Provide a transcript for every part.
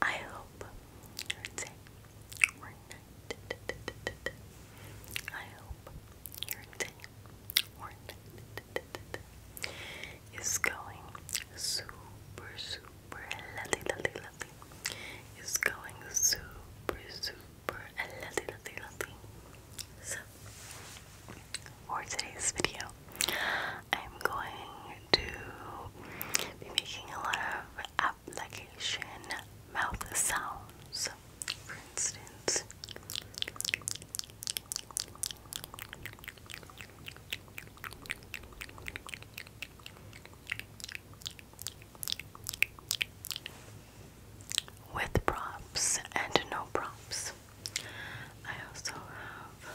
I hope your day or night. I hope your day or night is going super, super lovely, lovely, lovely. Is going super, super lovely, lovely, lovely. So, for today's video, I'm going to be making a lot of application mouth sounds. For instance, with props and no props. I also have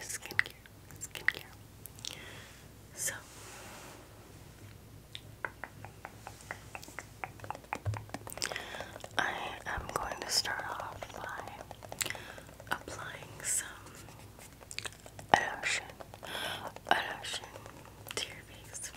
skincare, skincare. So, I am going to start off by applying some lotion, lotion to your face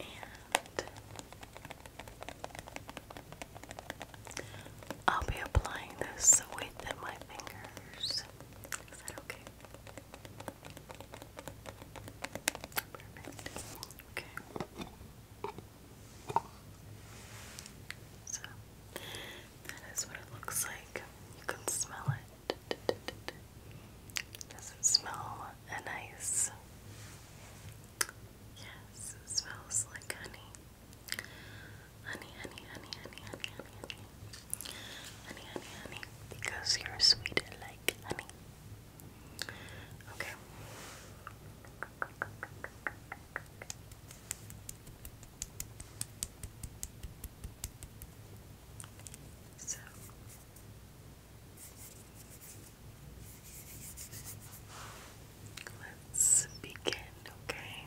and I'll be applying this with my fingers. Is that okay? Perfect. Okay. So that is what it looks like. You can smell it. Does it smell nice Yes, it smells like honey. Honey, honey, honey, honey, honey, honey, honey. Honey, honey, honey. Because you're sweet like honey. Okay. So, Let's begin, okay?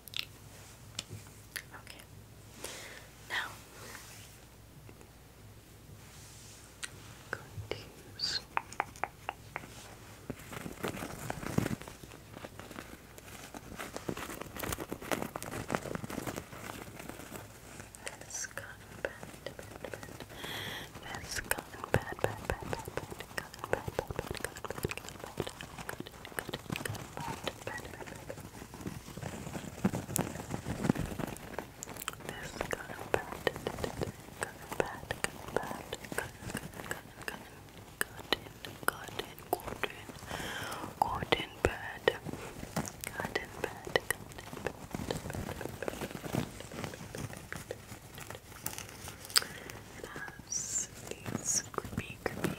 Okay. Now I'm going to use this cotton pad, pad, pad. This cotton pad, pad, pad, pad, pad, cotton pad, pad, pad, cotton pad, cotton good, good, good, good, good. This kind of bad, good, bad, good, bad, good, good, good, cotton, cotton, cotton bad, cotton bad, cotton bad. It has these creepy, creepy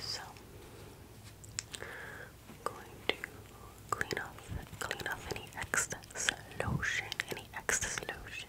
So I'm going to clean off clean off any excess lotion, any excess lotion.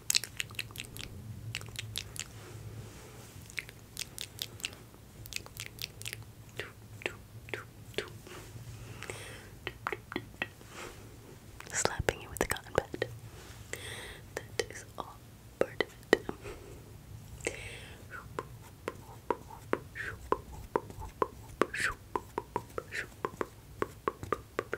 Slapping you with the cotton pad. That is all part of it. Okay.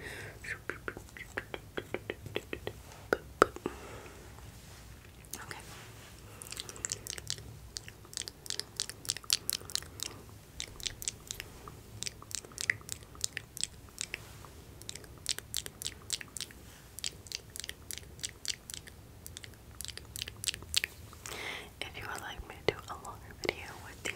If you would like me to do a longer video with you,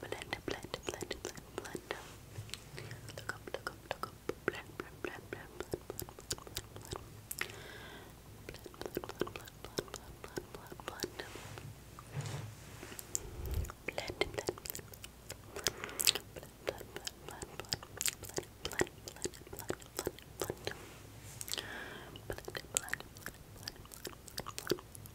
Blend, blend, blend, blend, blend. Look up, look up, look up. Blend, blend, blend, blend, blend, blend, blend, blend. Blend, blend, blend, blend, blend, blend, blend, blend. Blend, blend, blend, blend, blend, blend, blend, blend, blend, blend, blend, blend. Blend, blend, blend, blend, blend, blend, blend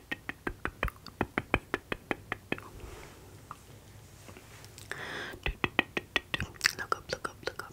Look up, look up, look up. Look,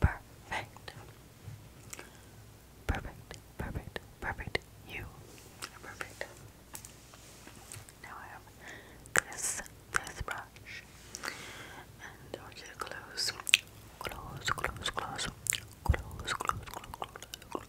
Perfect. Perfect. Perfect. Perfect. You are perfect. Now I have this this brush. And I want you to close. Close, close, close. Close, close, close, close, close,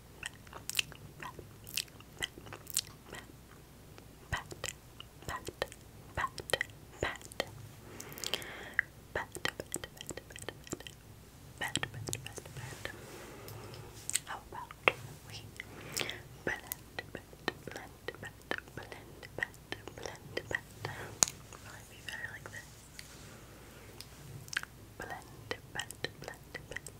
How about we blend, blend, blend, blend, blend, blend, blend. Probably be better like this. Blend, blend, blend, blend, blend.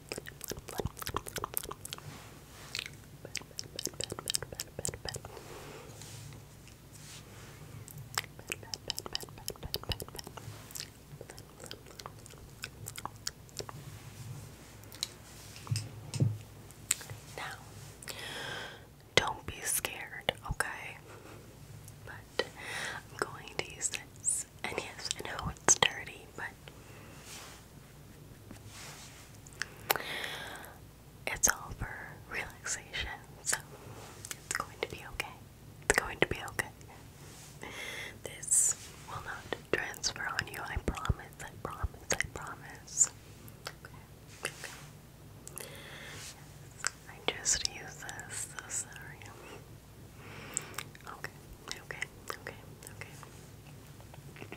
Now, don't be scared, okay? But I'm going to use this. And yes, I know it's dirty, but it's all for relaxation, so it's going to be okay. It's going to be okay. This will not transfer on you, I promise, I promise, I promise. Okay, okay. Yes, I just use this, so sorry. Okay, okay, okay, okay.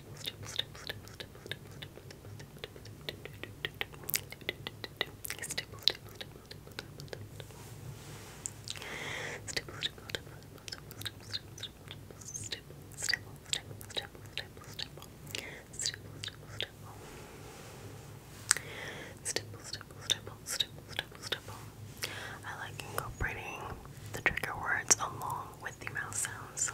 stipple, stipple, stipple, stipple, stipple, stipple, stipple, stipple, stipple, I like incorporating the trigger words along with the mouth sounds.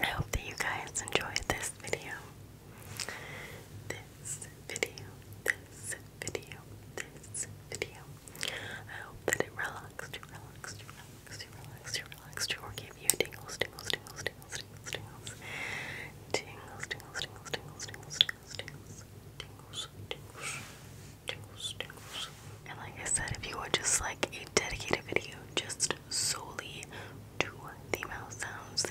I hope that you guys enjoyed this video. This video, this video, this video. I hope that it relaxed you, relaxed you, relaxed you, relaxed you, relaxed you, or gave you tingles, tingles, tingles, tingles, tingles, tingles, tingles. Tingles, tingles, tingles, tingles, tingles, tingles, tingles. Tingles, And like I said, if you would just like a dedicated video just solely to the mouth sounds,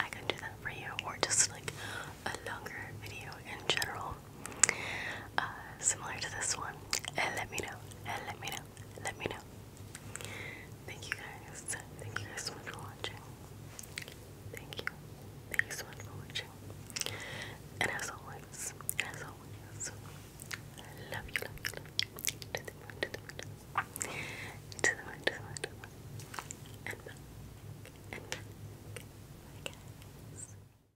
I can do that for you, or just like a longer video in general. Uh, similar to this one, let me know. let me know. Let me know. Thank you guys. Thank you guys so much for watching. Thank you. Thank you so much for watching. And as always, as always, I love you, love you, love you. To the moon, to the moon, to the moon, to the moon, Bye, guys.